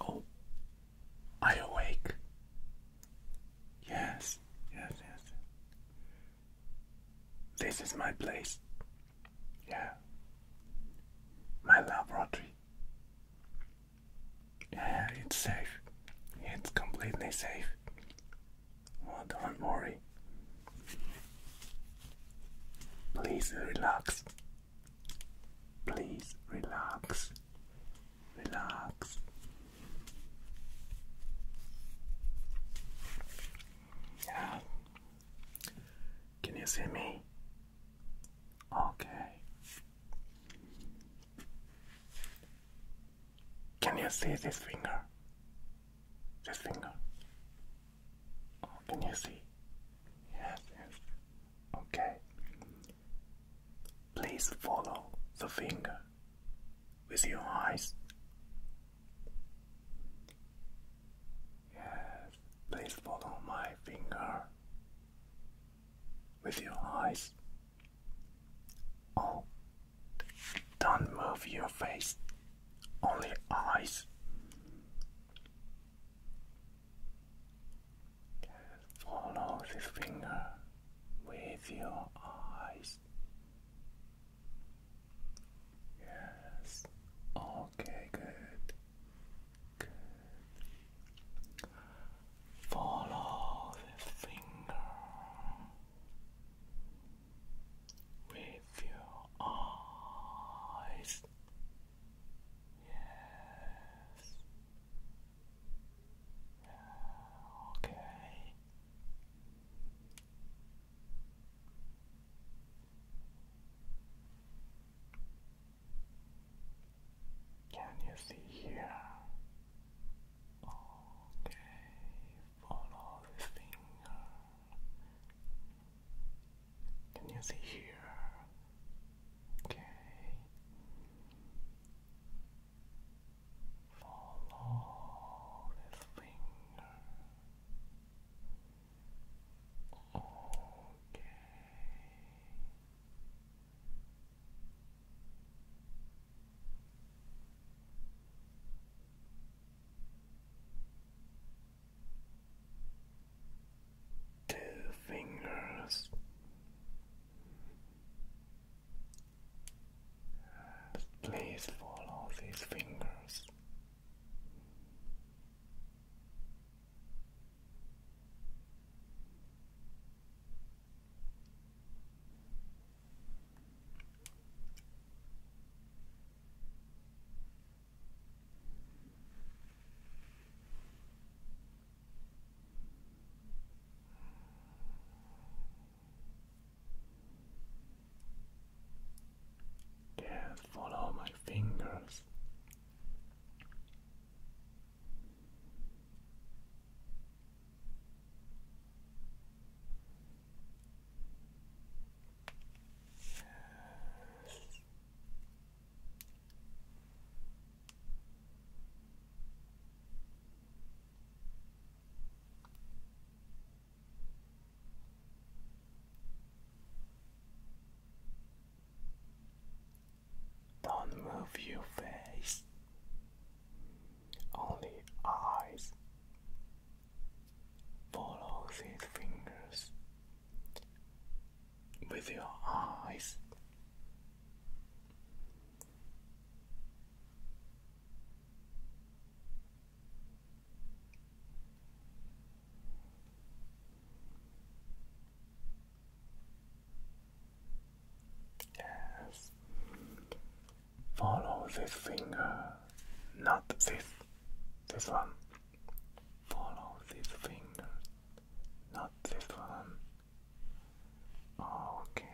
Oh, I awake. Yes, yes, yes. This is my place. Yeah. My laboratory. Yeah, it's safe. It's completely safe. don't worry. Please relax. Please relax. Relax. Yeah. Can you see me? Okay. Can you see this finger? This finger. Oh, can you see? Yes, yes. Okay. Please follow the finger with your eyes. Yes, please follow my finger with your eyes. Oh, don't move your face, only eyes. Follow this finger with your eyes. Yes. Okay, good. Follow the finger with your eyes. Yes. Okay. Can you see here? Okay, follow this finger. Can you see here? Okay. Follow this finger. Okay. Two fingers Please follow these fingers. Yeah, follow my fingers. Yes. Don't move your face, only eyes. Follow these fingers with your eyes. Yes. Follow this finger, not this, this one. Follow this finger, not this one. Okay.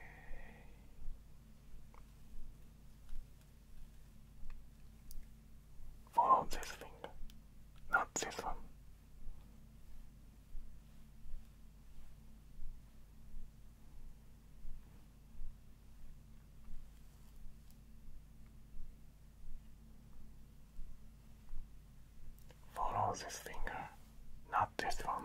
Follow this finger, not this one. Follow this finger, not this one.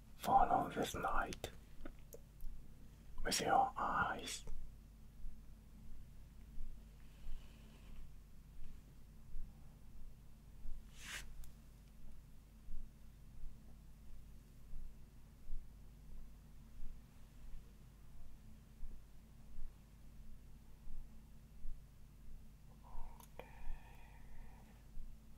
Follow this light with your eyes. Okay.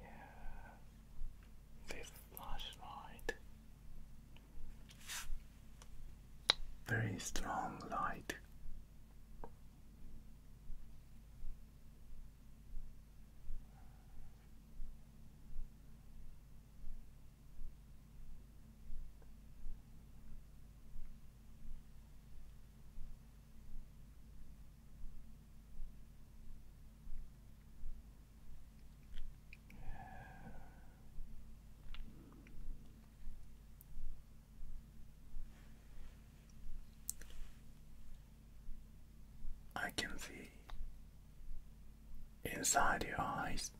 Yeah, this flashlight, very strong light. I can see inside your eyes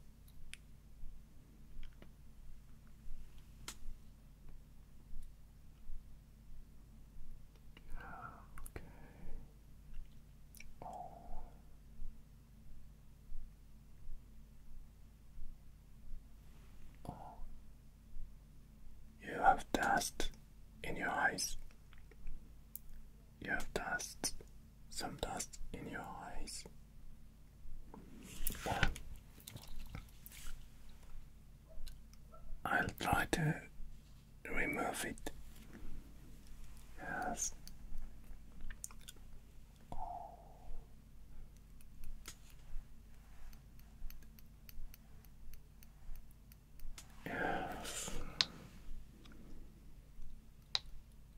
you have dust in your eyes. You have dust, some dust in your eyes. I'll try to remove it. Yes. Yes.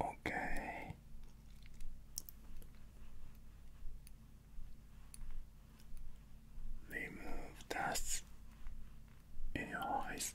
Okay. Remove dust in your eyes.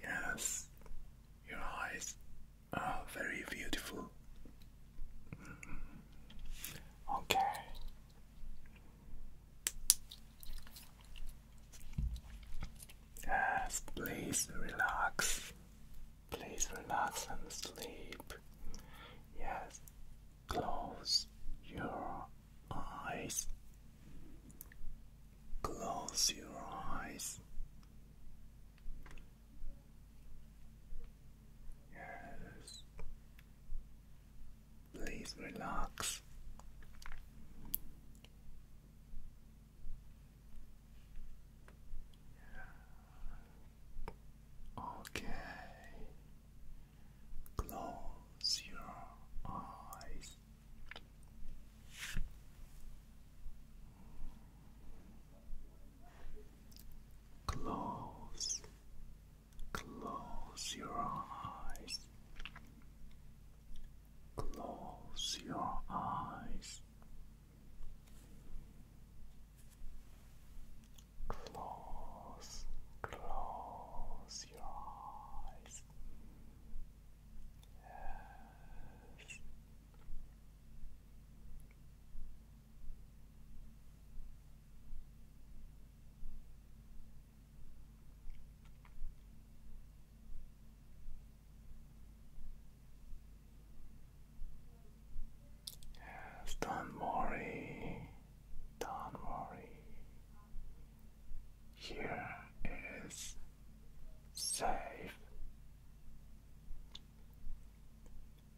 Yes. Yes, your eyes Oh, very beautiful. Okay. Yes, please relax. Please relax and sleep. Yes, close your eyes. Close your eyes. Yes. Please relax. Okay. Close your eyes. Close, close your eyes, close your eyes, close, close your eyes. Yes don't worry, don't worry. Here is safe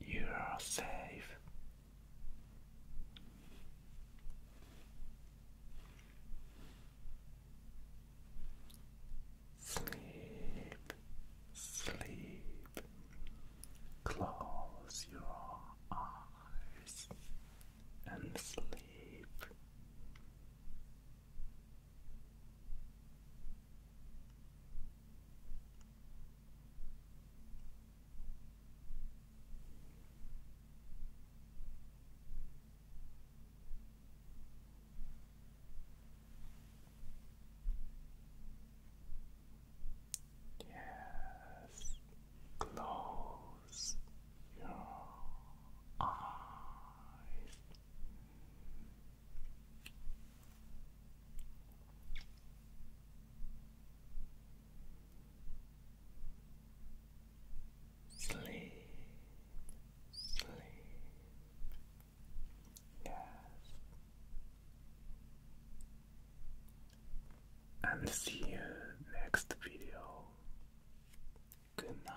you are safe. Sleep, sleep. Close your eyes and sleep. Yes, close your eyes. Sleep, sleep, yes, and see you next video. Good night.